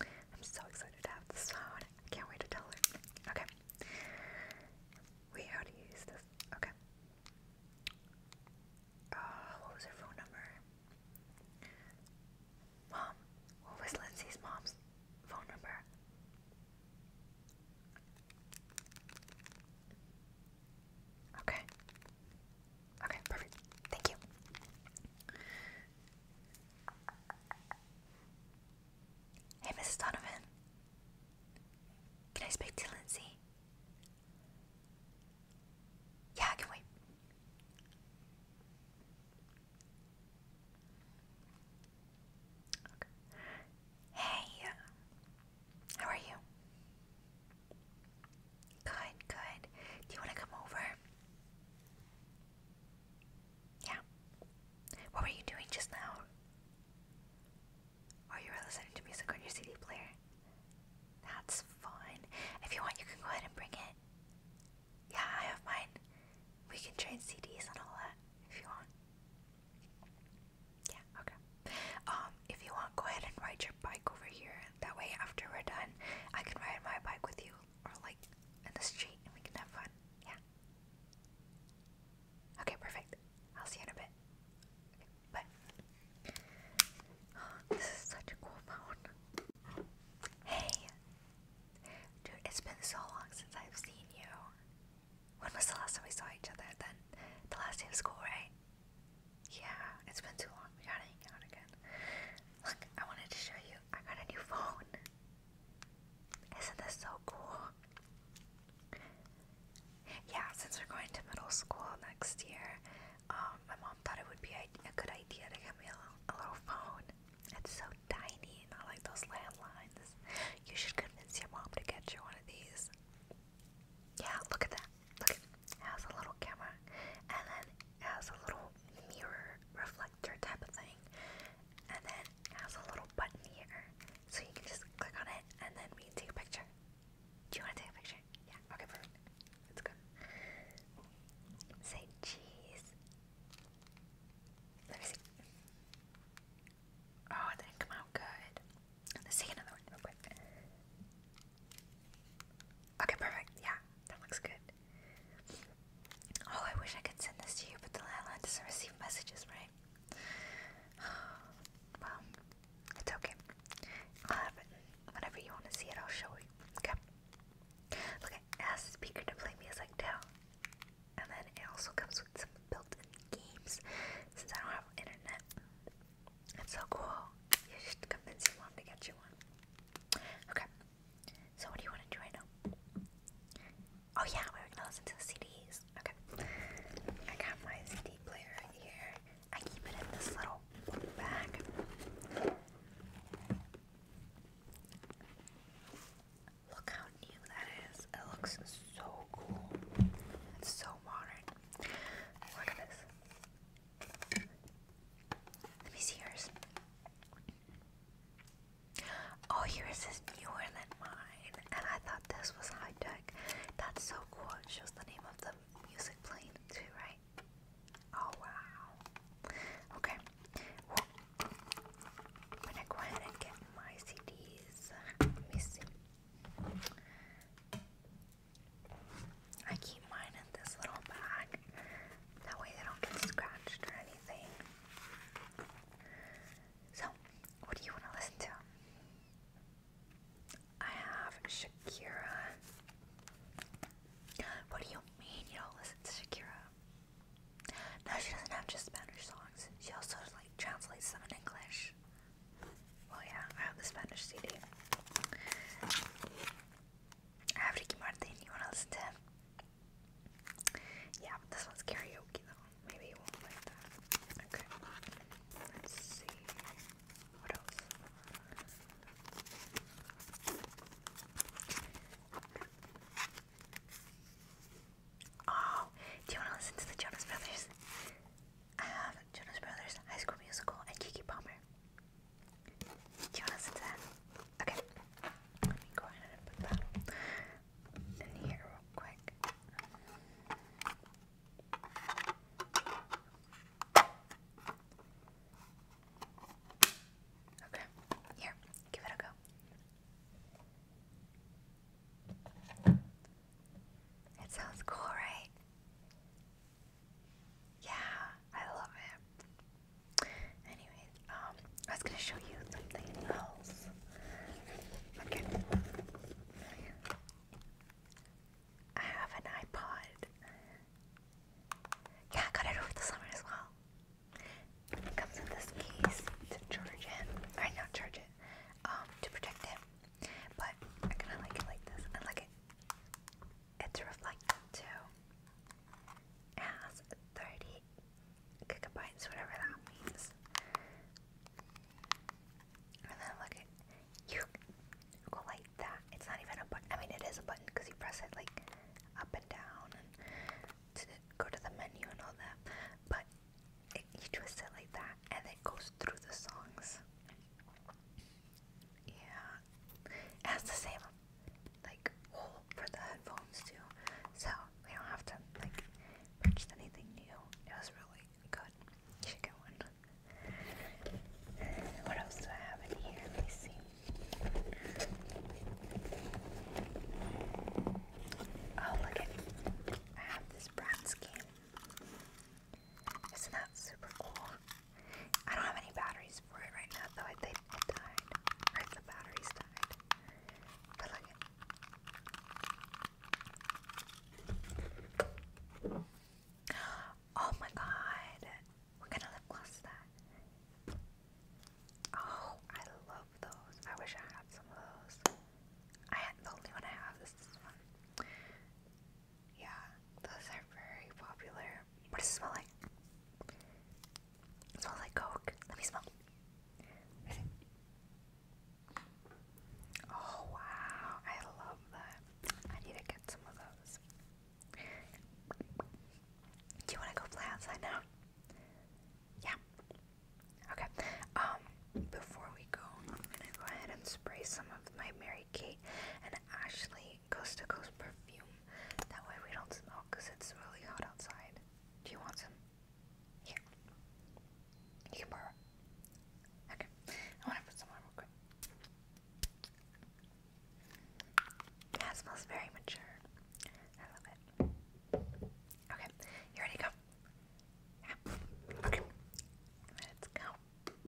I'm so excited to have this phone. I can't wait to tell her. Okay. Wait, how do you use this? Okay. Uh, what was her phone number? Mom, what was Lindsay's mom's phone number? Okay. Okay, perfect. Thank you. Hey, Mrs. Donovan. Can I speak to Lindsay? Yeah, can wait. Hey, uh, how are you? Good, good. Do you want to come over? Yeah. What were you doing just now? Or you listening to music on your CD player? That's fun. If you want, you can go ahead and bring it. Yeah, I have mine. We can trade CDs and all that if you want. Yeah, okay. Um, if you want, go ahead and ride your bike over here. That way, after we're done, I can ride my bike with you or like in the street and we can have fun. Yeah. Okay, perfect. I'll see you in a bit. Okay, this is such a cool phone. Hey! Dude, it's been so long since I've seen you. When was the last time we saw each other? Then the last day of school, right? Yeah, it's been too long. We gotta hang out again. Look, I wanted to show you. I got a new phone. Isn't this so cool? Yeah, since we're going to middle school next year, um, my mom thought it would be a, a good idea to get me a little, a little phone. It's so tiny, not like those landlines. You should convince your mom to get you one of these. Yeah, look at that. Look at has a little camera and then has a little mirror reflector type of thing and then has a little button here so you can just click on it and then we can take a picture. Do you want to take a picture? Yeah, okay, perfect. Let's Say cheese. Let me see. Oh, didn't come out good. Let's take another one real quick. Okay, perfect. Yeah, that looks good. Oh, I wish I could send this to you, but the landline doesn't receive messages, right? well, it's okay. I'll have it. Whenever you want to see it, I'll show you. Okay. Look, it the speaker to play music too. And then it also comes with some built-in games, since I don't have internet. It's so cool. You should convince your to get you one. Okay. So what do you want to do right now? Oh yeah, we're gonna listen to the CDs. Okay. I got my CD player here. I keep it in this little bag. Look how new that is. It looks so cool. It's so modern. Look at this. Let me see yours. Oh, yours is newer than mine, I thought this was high tech. That's so cool. shows the name of the music playing too, right? Oh wow. Okay. I'm gonna go ahead and get my CDs. Let me see. I keep mine in this little bag. That way they don't get scratched or anything. So, what do you want to listen to? I have Shakira. What do you mean you don't listen to Shakira? No, she doesn't have just Spanish songs. She also like translates them in English. Well, oh, yeah, I have the Spanish CD. I have Ricky Martin, you wanna listen to Yeah, but this one's karaoke though. Maybe won't like that. Okay. Let's see. What else? Oh, do you wanna listen to the Jonas Brothers? I have Jonas Brothers, High School Musical, and Kiki Palmer. Do you want to listen Okay. Let me go ahead and put that in here real quick. Okay. Here, give it a go. It sounds cool, right? Yeah, I love it. Anyways, um, I was gonna show you something else. Okay. I have an iPod. Yeah, I got it over the summer as well. comes in this case to charge it. Or not charge it. Um, to protect it. But I kinda like it like this. I like it. It's reflective too. It 30 gigabytes, whatever that means. And then look at you go like that. It's not even a button. I mean, it is a button because you press it like up and down to go to the menu and all that. But you twist it like that, and it goes through the songs. Yeah. It has the same like hole for the headphones too. So we don't have to like purchase anything new. It was really good. You one. What else do I have in here? Let Oh look I have this Bratz Isn't that super cool? I don't have any batteries for it right now, though. it died. Or if the batteries died. Oh my god. What kind of lip gloss is that? Oh, I love those. I wish I had some of those. I the only one I have is this one. Yeah, those are very popular. What does it smell like? smells like Coke. Let me smell. Oh wow, I love that. I need to get some of those. Do you want to go play outside now? Yeah. Okay. Um, before we go, I'm gonna go ahead and spray some of my Mary by Kate and Ashley Coast to Coast perfume. That way we don't smell because it's really hot outside. Do you want some? Here. You can borrow Okay. I want to put some on real quick. That smells very mature. I love it. Okay. You ready to go? Yeah. Okay. Let's go.